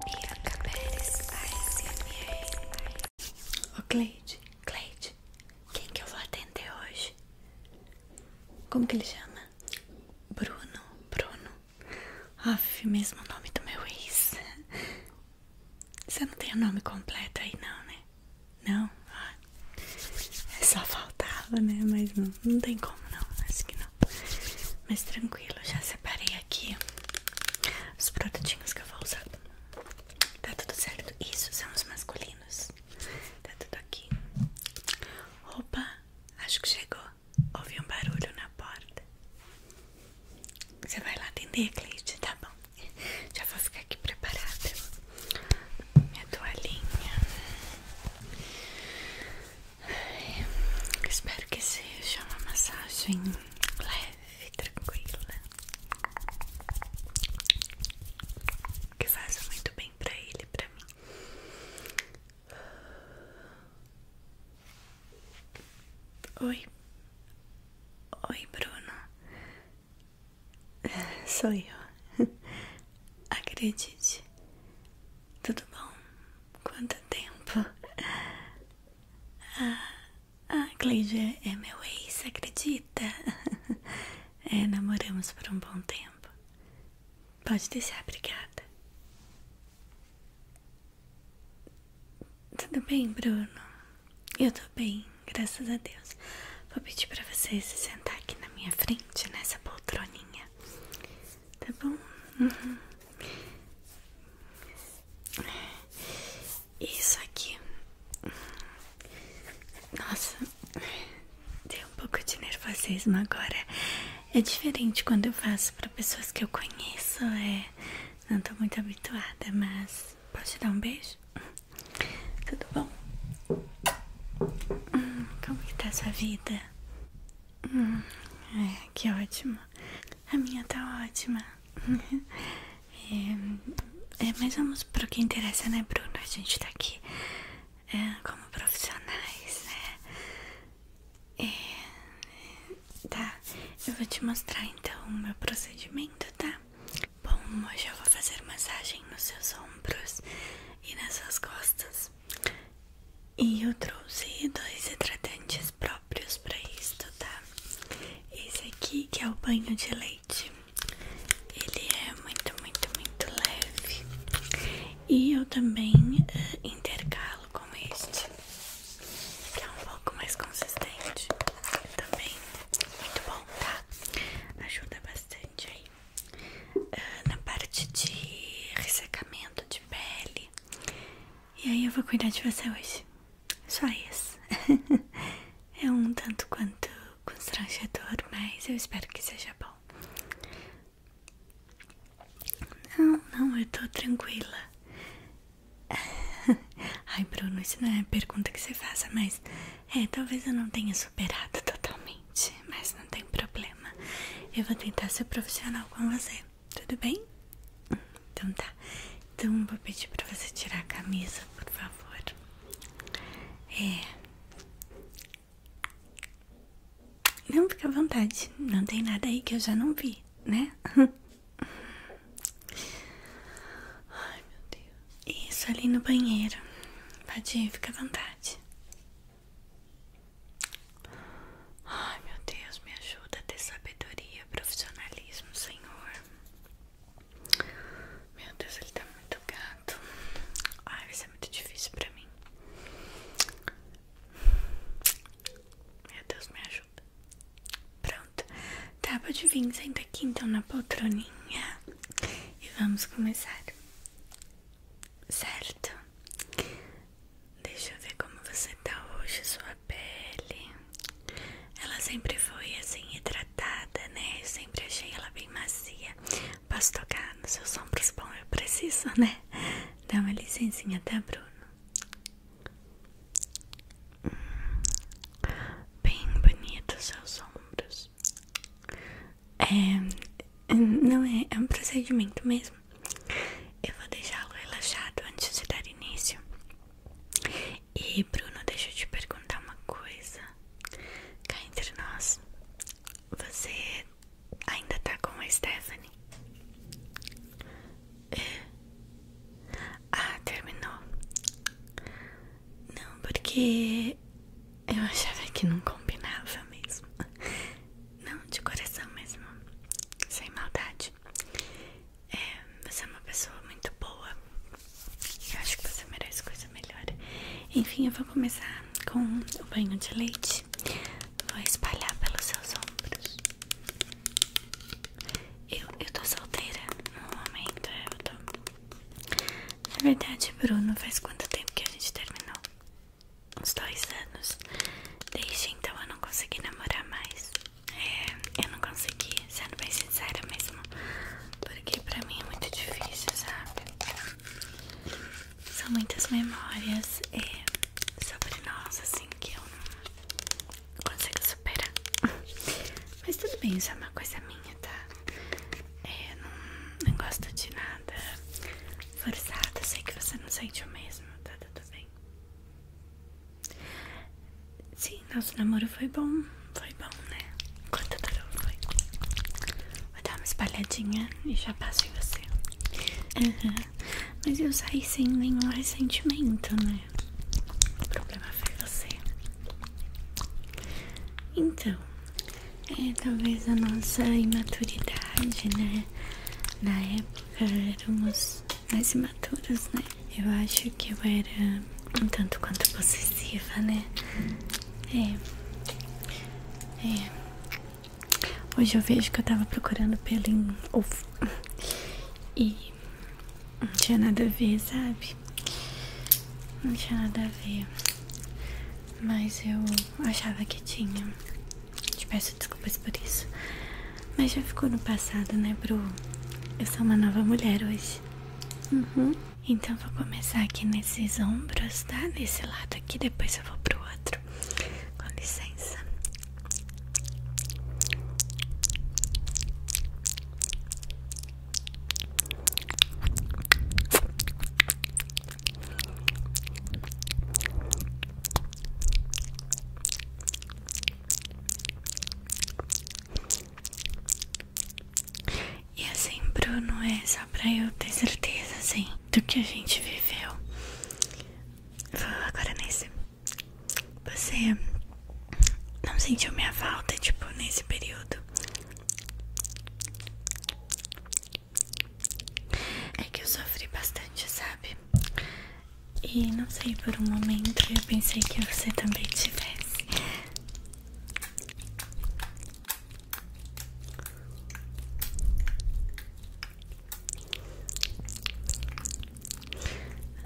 Bianca Pérez ASMR. Ô Cleide, Cleide, quem que eu vou atender hoje? Como que ele chama? Bruno, Bruno. Aff, mesmo o nome do meu ex. Você não tem o nome completo aí não, né? Não? Ah, é só faltava, né? Mas não, não tem como não, acho que não. Mas tranquilo, já sei separei aqui os produtinhos que eu vou usar. Tá tudo certo? Isso, são os masculinos. Tá tudo aqui. Opa, acho que chegou. Ouvi um barulho na porta. Você vai lá atender, Cleide? Tá bom. Já vou ficar aqui preparada. Minha toalhinha. Espero que seja uma massagem leve, tranquila, que faça muito bem pra ele, e pra mim. Oi, oi, Bruno. Sou eu. Acredite, tudo bom? Quanto tempo? Ah, a ah, Cleide é, é meu ex, acredita? É, namoramos por um bom tempo. Pode deixar, obrigada. Tudo bem, Bruno? Eu tô bem, graças a Deus. Vou pedir pra você se sentar aqui na minha frente, nessa poltroninha. Tá bom? Uhum. Isso aqui. Nossa, deu um pouco de nervosismo agora. É diferente quando eu faço para pessoas que eu conheço, é. Não tô muito habituada, mas. Posso te dar um beijo? Tudo bom? Hum, como está sua vida? Hum, é, que ótimo. A minha tá ótima. É, é, mas vamos para o que interessa, né, Bruno? A gente tá aqui é, como profissionais, né? tá, eu vou te mostrar então o meu procedimento, tá? Bom, hoje eu vou fazer massagem nos seus ombros e nas suas costas. E eu trouxe dois hidratantes próprios para isto, tá? Esse aqui que é o banho de leite. Ele é muito, muito, muito leve. E eu também eh, intercalo com este, que é um pouco mais consistente. Também muito bom, tá? Ajuda bastante aí. Eh, na parte de ressecamento de pele e aí eu vou cuidar de você hoje. Só isso. é um tanto quanto constrangedor, mas eu espero que seja bom. Não, não, eu tô tranquila. Ai, Bruno, isso não é a pergunta que você faça, mas é, talvez eu não tenha superado totalmente mas não tem problema. Eu vou tentar ser profissional com você, tudo bem? Então tá. Então vou pedir pra você tirar a camisa, por favor. É. Não fica à vontade, não tem nada aí que eu já não vi, né? Ai meu Deus. Isso ali no banheiro. Pode ir, fica à vontade. Ai, meu Deus, me ajuda a ter sabedoria, profissionalismo, Senhor. Meu Deus, ele tá muito gato. Ai, isso é muito difícil pra mim. Meu Deus, me ajuda. Pronto. Tá, pode vir, senta aqui então na poltroninha. E vamos começar certo? Deixa eu ver como você tá hoje, sua pele. Ela sempre foi assim, hidratada, né? Eu sempre achei ela bem macia. Posso tocar nos seus ombros? Bom, eu preciso, né? Dá uma licencinha, tá, Bruno? Hum, bem bonito seus ombros. É, não é, é um procedimento mesmo. Eu vou deixá-lo relaxado antes de dar início. E Bruno, deixa eu te perguntar uma coisa. Cá entre nós, você ainda tá com a Stephanie? É. Ah, terminou. Não, porque eu achava que não combinava mesmo. Não, de coração mesmo. Sem maldade. É, você é uma pessoa muito boa. Eu acho que você merece coisa melhor. Enfim, eu vou começar com o banho de leite. Vou espalhar pelos seus ombros. Eu, eu tô solteira no momento. Eu tô. Na verdade, Bruno, faz quanto tempo que a gente terminou? uns dois anos. Desde então eu não consegui namorar mais. É, eu não consegui, sendo bem sincera mesmo. Porque pra mim é muito difícil, sabe? São muitas memórias é, sobre nós, assim, que eu não consigo superar. Mas tudo bem, isso é uma coisa minha, tá? É, não, não gosto de nada forçado Sei que você não sente o mesmo, tá tudo tá, tá bem. Sim, nosso namoro foi bom. Foi bom, né? Quanto durou foi? Vou dar uma espalhadinha e já passo em você. Mas eu saí sem nenhum ressentimento, né? O problema foi você. Então, é, talvez a nossa imaturidade, né? Na época éramos mais imaturas né? Eu acho que eu era um tanto quanto possessiva, né? É. É. Hoje eu vejo que eu tava procurando pelo ovo. E não tinha nada a ver, sabe? Não tinha nada a ver. Mas eu achava que tinha. Te peço desculpas por isso. Mas já ficou no passado, né, Bru? Eu sou uma nova mulher hoje. Uhum. Então vou começar aqui nesses ombros, tá? Nesse lado aqui, depois eu vou pro outro. Com licença. E assim, Bruno, é só pra eu ter certeza, assim, do que a gente viveu. Vou agora nesse. Você não sentiu minha falta, tipo, nesse período? É que eu sofri bastante, sabe? E não sei, por um momento eu pensei que você também tivesse.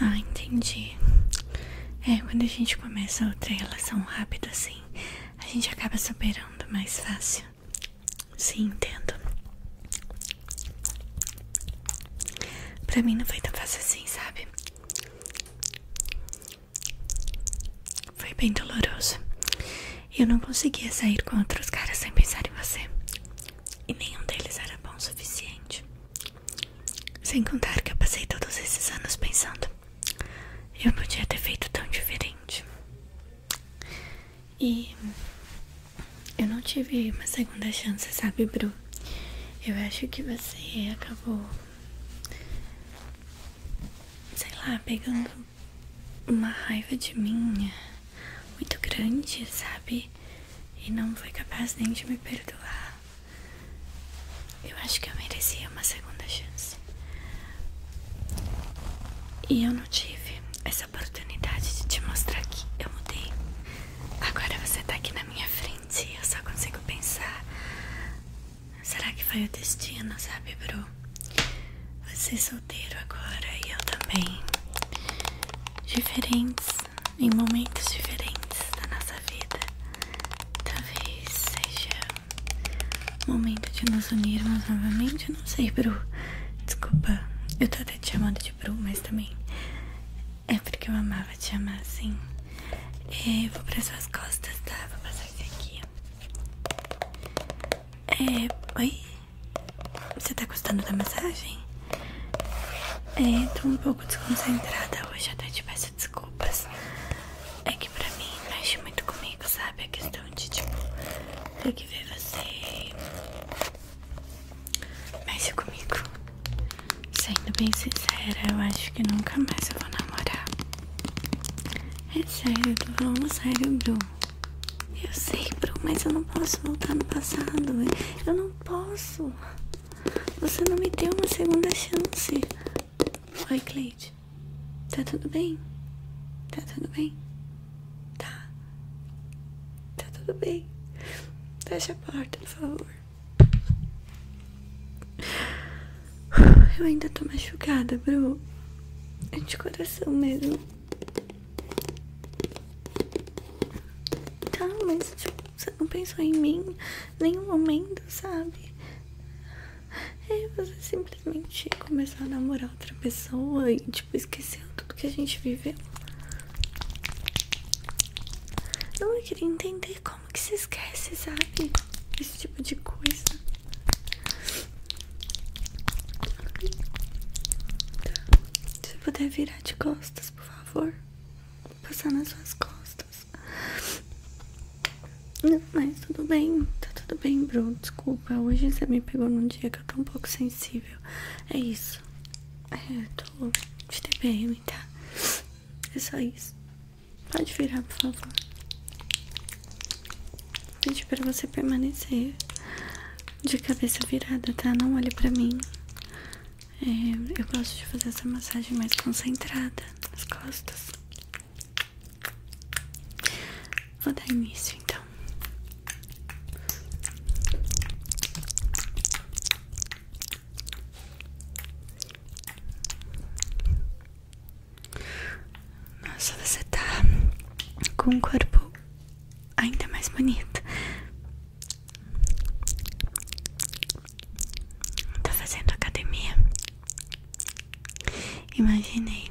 Ah, entendi. É, quando a gente começa outra relação rápida assim, a gente acaba superando mais fácil. Sim, entendo. Pra mim não foi tão fácil assim, sabe? Foi bem doloroso. Eu não conseguia sair com outros caras sem pensar em você. E nenhum deles era bom o suficiente. Sem contar que eu passei todos esses anos pensando: eu podia ter feito tão diferente. E eu não tive uma segunda chance, sabe, Bru? Eu acho que você acabou, sei lá, pegando uma raiva de mim muito grande, sabe? E não foi capaz nem de me perdoar. Eu acho que eu merecia uma segunda chance. E eu não tive essa oportunidade de te mostrar que eu mudei. Agora você tá aqui na minha frente e eu só consigo pensar. Será que foi o destino, sabe, Bru? Você é solteiro agora e eu também. Diferentes, em momentos diferentes da nossa vida. Talvez seja Momento de nos unirmos novamente. Eu não sei, Bru. Desculpa, eu tô até te chamando de Bru, mas também é porque eu amava te chamar assim. É, vou para suas costas, tá? Vou passar aqui. É, oi? Você tá gostando da mensagem? É, tô um pouco desconcentrada hoje, até te peço desculpas. É que pra mim mexe muito comigo, sabe? A questão de tipo, tem que ver você. Mexe comigo. Sendo bem sincera, eu acho que nunca mais eu vou namorar. É sério, tô falando sério, Bru. Eu sei, Bru, mas eu não posso voltar no passado. Eu não posso. Você não me deu uma segunda chance. Oi, Cleide. Tá tudo bem? Tá tudo bem? Tá. Tá tudo bem. Fecha a porta, por favor. Eu ainda tô machucada, Bru. É de coração mesmo. Tá, mas você não pensou em mim nenhum momento, sabe? É você simplesmente começou a namorar outra pessoa e, tipo, esqueceu tudo que a gente viveu. Não, eu queria entender como que se esquece, sabe? Esse tipo de coisa. Se puder virar de costas, por favor. Passar nas suas costas. Não, mas tudo bem, tá tudo bem, Bruno. Desculpa, hoje você me pegou num dia que eu tô um pouco sensível. É isso. É, tô de TPM, tá? É só isso. Pode virar, por favor. Pedi pra você permanecer de cabeça virada, tá? Não olhe pra mim. É, eu gosto de fazer essa massagem mais concentrada nas costas. Vou dar início então. Nossa, você está com um corpo ainda mais bonito. Tá fazendo academia? Imaginei.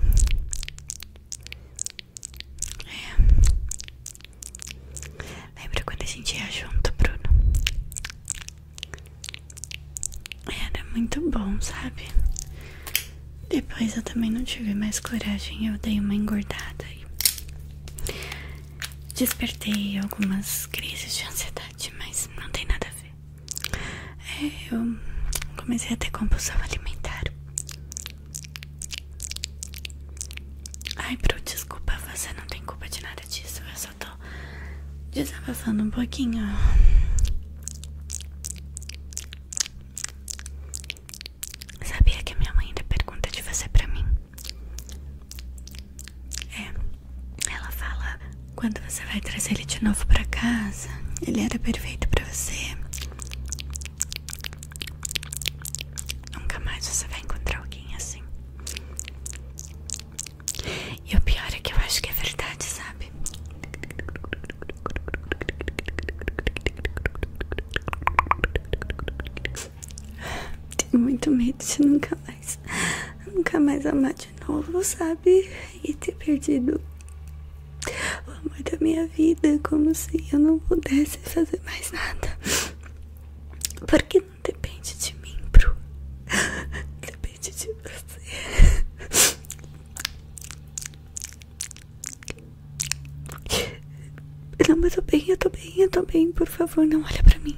É. Lembra quando a gente ia junto, Bruno? Era muito bom, sabe? Depois eu também não tive mais coragem, eu dei uma engordada e despertei algumas crises de ansiedade mas não tem nada a ver. É, eu comecei a ter compulsão alimentar. Ai, Bru, desculpa, você não tem culpa de nada disso. Eu só tô desabafando um pouquinho. Sabia que minha mãe te pergunta de você pra mim. É, ela fala quando você vai trazer ele de novo para casa, ele era perfeito para você. Nunca mais você vai encontrar alguém assim. E o pior é que eu acho que é verdade, sabe? Tenho muito medo de nunca mais, nunca mais amar de novo, sabe? E ter perdido o amor da minha vida, como se eu não pudesse fazer mais nada. Porque não depende de mim, Bruno? Depende de você. Não, eu tô bem, eu tô bem, eu tô bem. Por favor, não olha pra mim.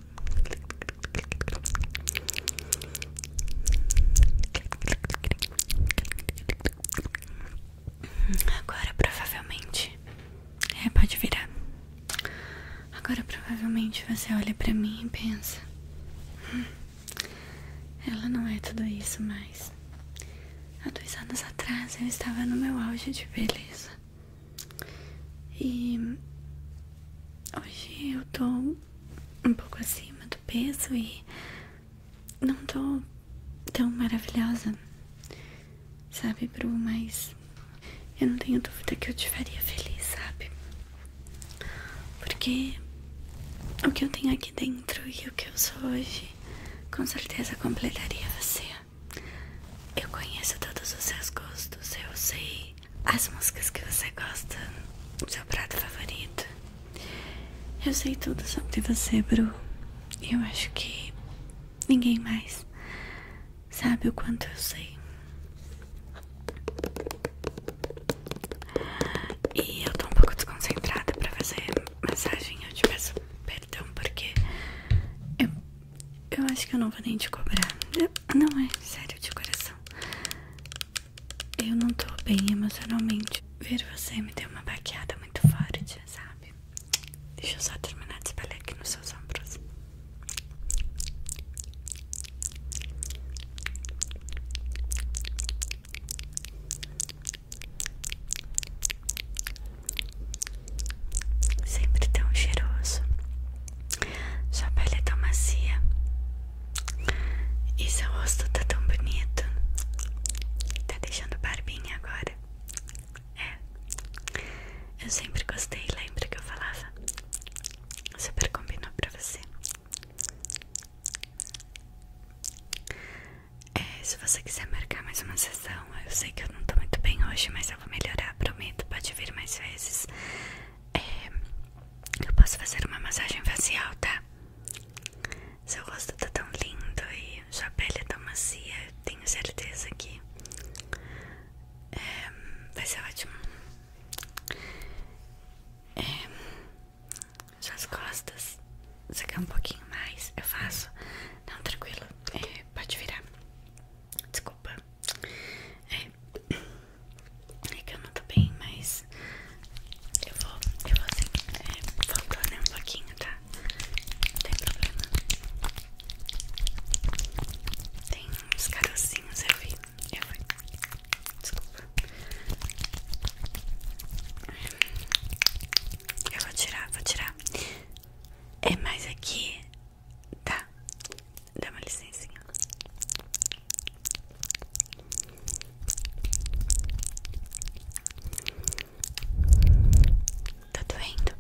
Agora provavelmente é, pode virar. Agora provavelmente você olha pra mim e pensa: hum, Ela não é tudo isso mais. Há dois anos atrás eu estava no meu auge de beleza. E hoje eu tô um pouco acima do peso e não tô tão maravilhosa, sabe, Bru? Mas eu não tenho dúvida que eu te faria feliz, sabe? Porque o que eu tenho aqui dentro e o que eu sou hoje com certeza completaria você. Eu conheço todos os seus gostos, eu sei as músicas que você gosta, o seu prato favorito. Eu sei tudo sobre você, Bru. Eu acho que ninguém mais sabe o quanto eu sei. E eu tô um pouco desconcentrada pra fazer massagem. Eu te peço perdão porque eu eu acho que eu não vou nem te cobrar. não é sério de coração. Eu não tô bem emocionalmente. Ver você me deu uma baqueada muito forte, sabe? Deixa eu só terminar de espalhar aqui nos seus ombros. Sempre tão cheiroso. Sua pele é tão macia. E seu rosto tá tão bonito. Tá deixando barbinha agora. É. Eu sempre gostei, lembra que eu falava? Super combinou pra você. É, se você quiser marcar mais uma sessão, então, eu sei que eu não tô muito bem hoje, mas eu vou melhorar, prometo. Pode vir mais vezes. É, eu posso fazer uma massagem facial, tá? Seu rosto tá tão lindo e sua pele é tão macia. tenho certeza que é, vai ser ótimo. É, suas costas. Você quer um pouquinho mais? Eu faço. Não, tranquilo. É, pode virar. Desculpa. É, é que eu não tô bem, mas eu vou, eu vou assim, é, voltar né, um pouquinho, tá? Não tem problema. Tem uns carocinhos, eu vi. Eu vi. Desculpa. Eu vou tirar, vou tirar. É mais aqui Tá, dá uma licencinha. Tá doendo?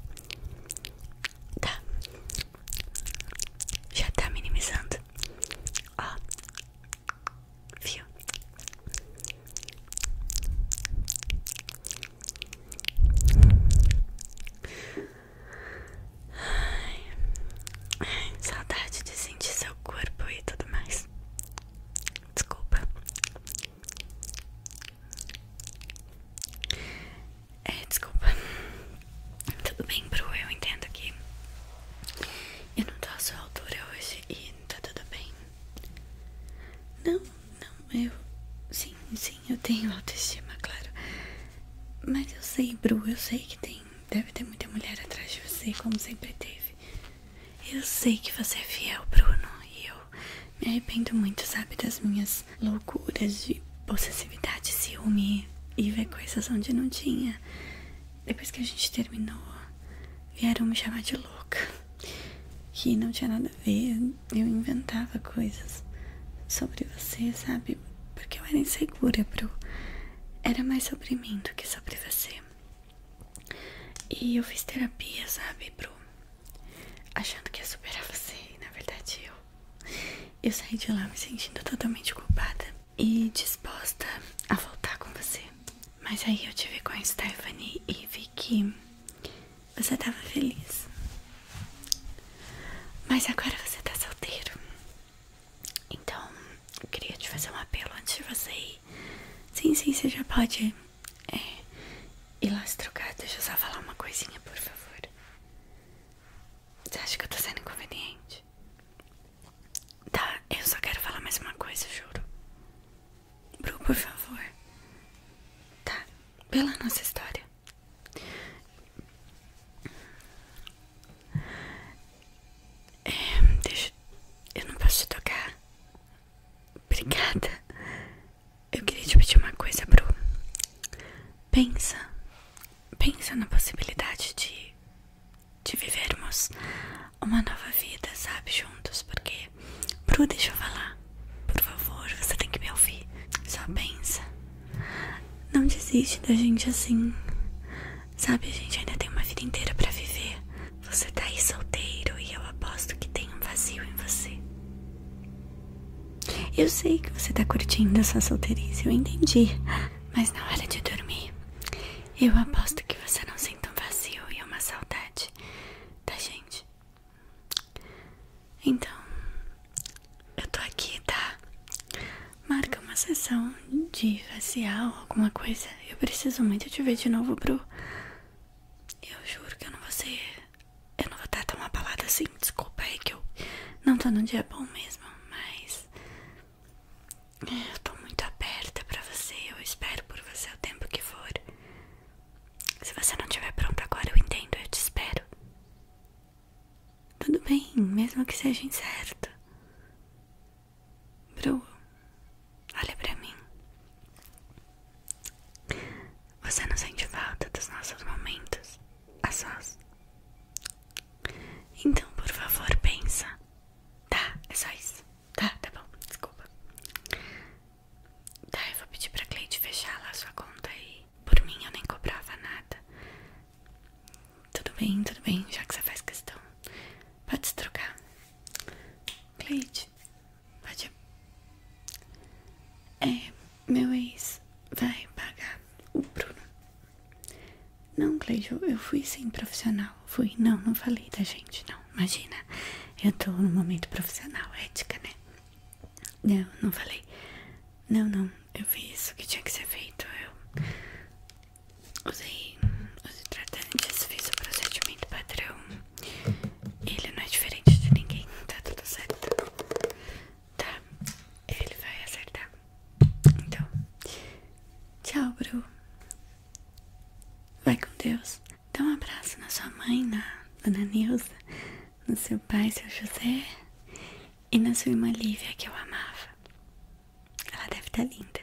Tá. Já tá minimizando. Ó. Viu? Ai, saudade de sentir seu corpo e tudo mais. Desculpa. É, desculpa. Tudo bem, Bru, eu entendo que eu não tô à sua altura hoje e tá tudo bem. Não, não, eu. Sim, sim, eu tenho autoestima, claro. Mas eu sei, Bru, eu sei que tem. Deve ter muita mulher atrás de você, como sempre teve. Eu sei que você é fiel, Bruno, e eu me arrependo muito, sabe, das minhas loucuras de possessividade, ciúme e ver coisas onde não tinha. Depois que a gente terminou, vieram me chamar de louca que não tinha nada a ver. Eu inventava coisas sobre você, sabe? Porque eu era insegura pro. Era mais sobre mim do que sobre você. E eu fiz terapia, sabe, pro. Achando que ia superar você. E na verdade eu. Eu saí de lá me sentindo totalmente culpada e disposta a voltar com você. Mas aí eu tive com a Stephanie e vi que você estava feliz. Mas agora você está solteiro. Então, eu queria te fazer um apelo antes de você ir. Sim, sim, você já pode é, ir lá se trocar. Deixa eu só falar uma coisinha, por favor. Você acha que eu estou sendo inconveniente? Tá, eu só quero falar mais uma coisa, juro. Bru, por favor. Tá, pela nossa história. É, deixa. Eu não posso te tocar. Obrigada. Eu queria te pedir uma coisa, Bru. Pensa. Pensa na possibilidade de. de vivermos uma nova vida, sabe? Juntos, porque você. Bru, deixa eu falar. Por favor, você tem que me ouvir. Só pensa. Não desiste da gente assim. Sabe, a gente ainda tem uma vida inteira pra viver. Você tá aí solteiro e eu aposto que tem um vazio em você. Eu sei que você tá curtindo essa solteirice, eu entendi. Mas na hora de dormir, eu aposto que você não sente um vazio e uma saudade da gente. Então, eu tô aqui, tá? Marca uma sessão de facial, alguma coisa. Eu preciso muito te ver de novo, Bru. Eu juro que eu não vou ser. Eu não vou estar tá tão abalada assim. Desculpa aí é que eu não tô num dia bom mesmo, mas. Eu tô muito aberta pra você. Eu espero por você o tempo que for. Se você não estiver pronto agora, eu entendo, eu te espero. Tudo bem, mesmo que seja incerto. Bru, olha pra mim. Você não sente falta dos nossos momentos a sós? Então, por favor, pensa. Tá, é só isso. Tá, tá bom, desculpa. Tá, eu vou pedir pra Cleide fechar lá a sua conta e por mim eu nem cobrava nada. Tudo bem, tudo bem, já que você faz questão. Pode se trocar. Cleide, pode. É, meu ex vai pagar o Bruno. Não, Cleide, eu, eu fui sem profissional fui. Não, não falei da gente, não. Imagina, eu tô no momento profissional, ética, né? Não, não falei. Não, não, eu fiz isso que tinha que ser feito. Eu usei os hidratantes, fiz o procedimento padrão. Ele não é diferente de ninguém, tá tudo certo. Tá, ele vai acertar. Então, tchau, Bru. Vai com Deus. Dá um abraço na sua mãe, na dona Nilza, no seu pai, seu José e na sua irmã Lívia, que eu amava. Ela deve estar tá linda.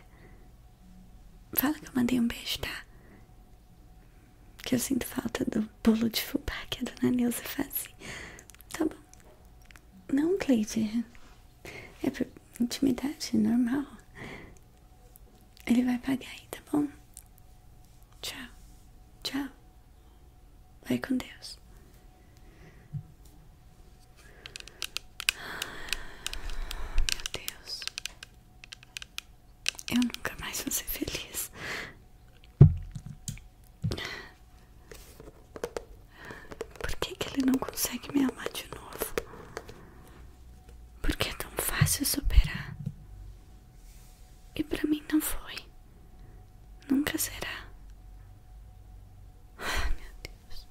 Fala que eu mandei um beijo, tá? Que eu sinto falta do bolo de fubá que a dona Nilza fazia. Tá bom. Não, Cleide. É intimidade normal. Ele vai pagar aí, tá bom? Tchau, tchau. Vai com Deus. Meu Deus. Eu nunca mais vou ser feliz. Por que, que ele não consegue me amar de novo? Porque é tão fácil superar. E para mim não foi. Nunca será. Ah, meu Deus.